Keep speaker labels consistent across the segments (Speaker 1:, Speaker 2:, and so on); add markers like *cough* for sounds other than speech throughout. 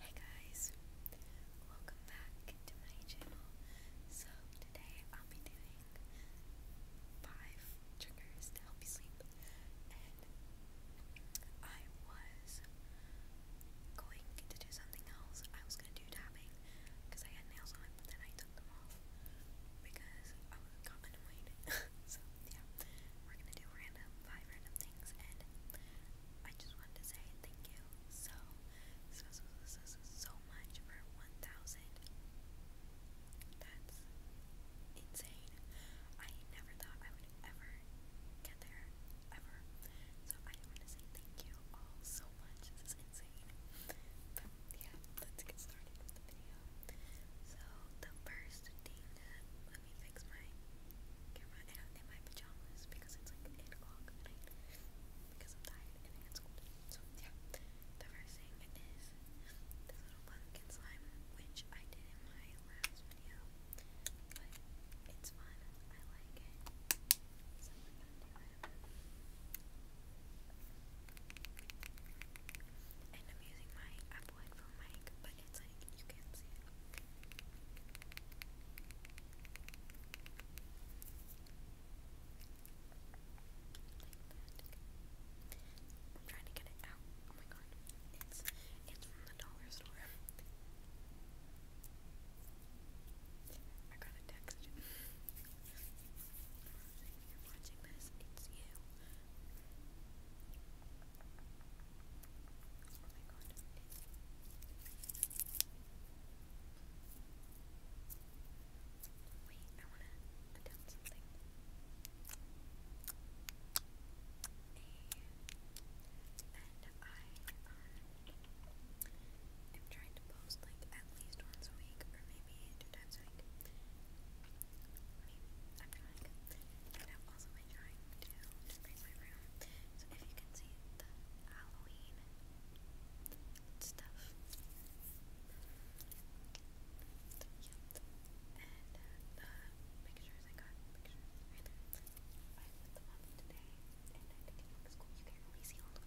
Speaker 1: Hey guys, welcome back to my channel. So today I'll be doing five triggers to help you sleep, and I was going to do something else. I was gonna do tapping because I had nails on, but then I took them off because I got annoyed. *laughs* so we're gonna do random five random things, and I just wanted to say thank you so, so, so, so, so, so much for 1,000. That's insane. I never thought I would ever get there, ever. So I want to say thank you all so much. This insane. yeah, let's get started with the video. So the first thing let me fix my camera in, in my pajamas because it's like 8 o'clock because I'm tired and I had So, yeah, the first thing is this little pumpkin slime, which I did in my last video, but it's fun. I like it. So, we're gonna do it. And I'm using my Apple headphone mic, but I can You can't see it. I'm trying to get it out. Oh my god. It's it's from the dollar store. I got a text. *laughs* you. Wait, I am trying to post like at least once a week or maybe two times a week. I'm trying. And I'm also making really trying to decorate my room. So if you can see the Halloween stuff. And the pictures I got, pictures right there. I put today, and I think it You can't see all of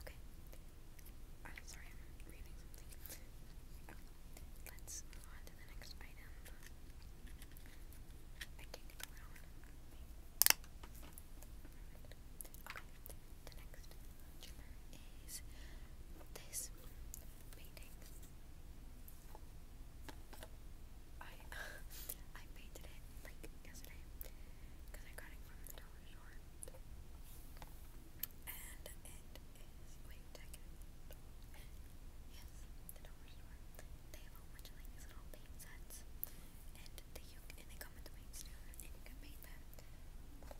Speaker 1: Okay. I'm sorry, I'm reading something. let's move on to the next item. Okay, the next trigger is this paintings. I *laughs* I painted it like yesterday because I got it from the dollar store, and it is wait, did Yes, the dollar store. They have a bunch of like these little paint sets, and they you come with the paints too, and you can paint them.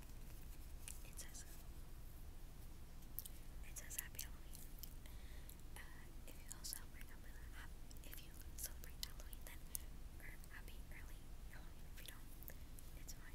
Speaker 1: Uh, it says Happy Halloween. Uh, if you celebrate Halloween, Happy Early Halloween. If you don't, it's fine.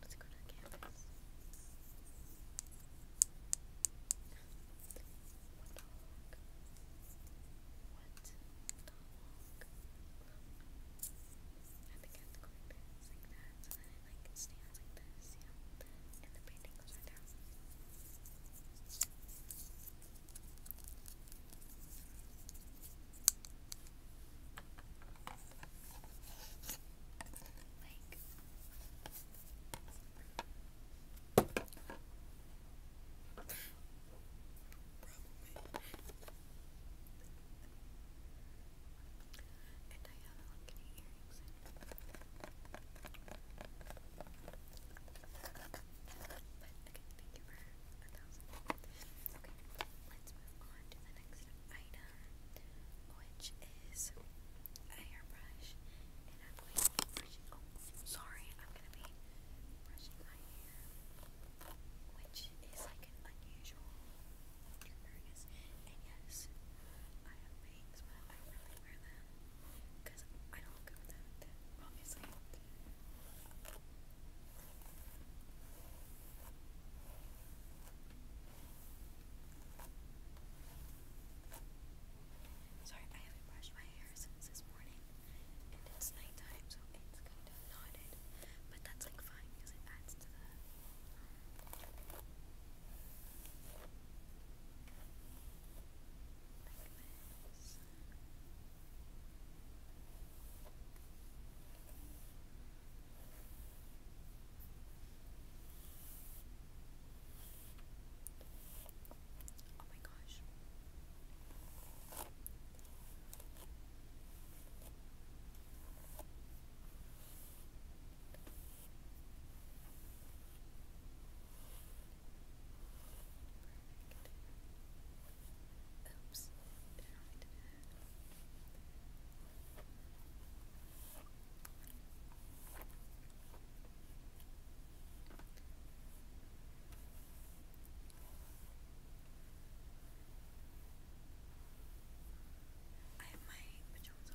Speaker 1: Let's go to campus. What the fuck? What I think I have to go like like that, so then it stands like this, And the painting goes right down. Like And I have like earrings But thank you for a thousand. Okay, let's move on to the next item, which is a hairbrush. And I'm going to oh, be brushing. my hair, which is like an unusual And yes, I have bangs, but I really wear them because I don't look good obviously. Sorry, I haven't brushed my hair since this morning, and it's nighttime, so it's kind of knotted. But that's like fine because it adds to the. Oh my gosh. Oops. Did I, did I have my pajamas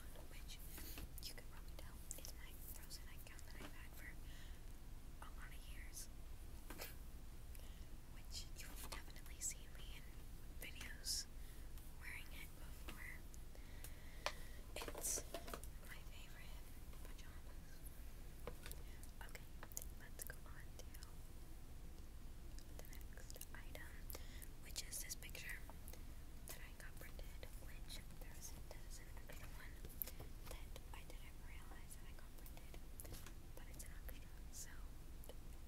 Speaker 1: on, which you can probably tell is my frozen nightgown that I've had for a lot of years. Which you've definitely seen me in videos wearing it. It's my favorite Okay, let's go on to the next item, which is this picture that I got printed, which there is an extra one that I didn't realize that I got printed, but it's an extra, so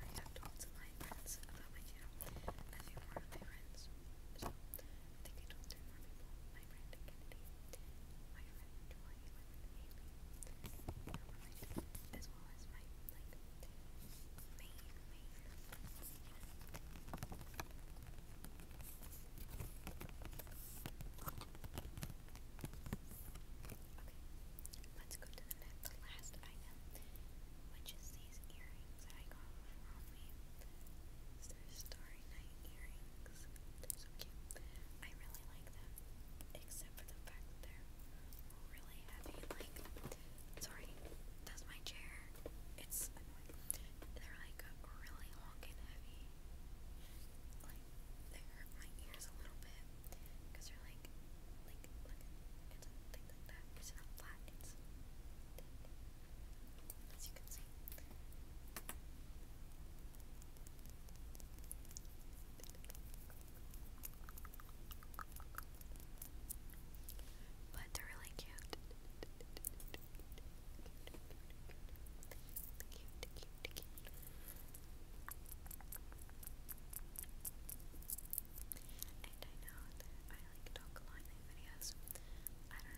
Speaker 1: and I have told my friends about my channel. I think more of my friends. So I think I more people. My friend Kennedy, my friend as well as my like main main Let's go to the next, the last item, which is these earrings that I got from Halloween. Starry Night earrings. so cute. I really like them, except for the fact they're really heavy. Like, sorry, that's my chair. It's They're like really long and heavy. Like, they hurt my ears a little bit. Because they're like, like, look, it's like that. It's not flat, it's As you can see. But they're really cute. And I don't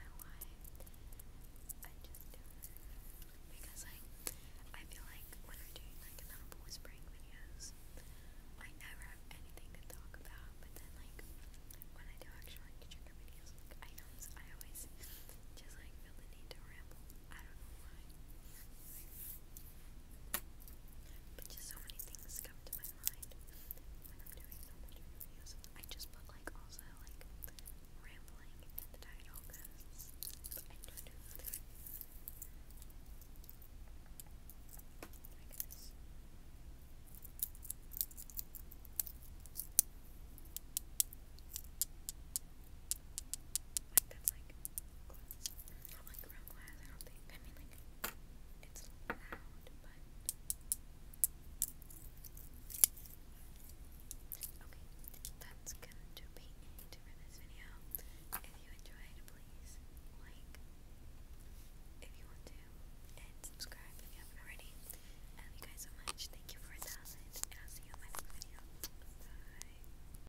Speaker 1: know why. Because like I feel like when I'm doing like audible whispering videos, I never have anything to talk about. But then like when I do actual like trigger videos, I always just like feel the need to ramble. I don't know why. But just so many things come to my mind when I'm doing so much videos. I just put like also like rambling in the title because I just do like this. I Okay, that's gonna do be for this video. If you enjoyed, please like if you want to and subscribe if you haven't already. love you guys so much. Thank you for a thousand and I'll see you in my next video. Bye.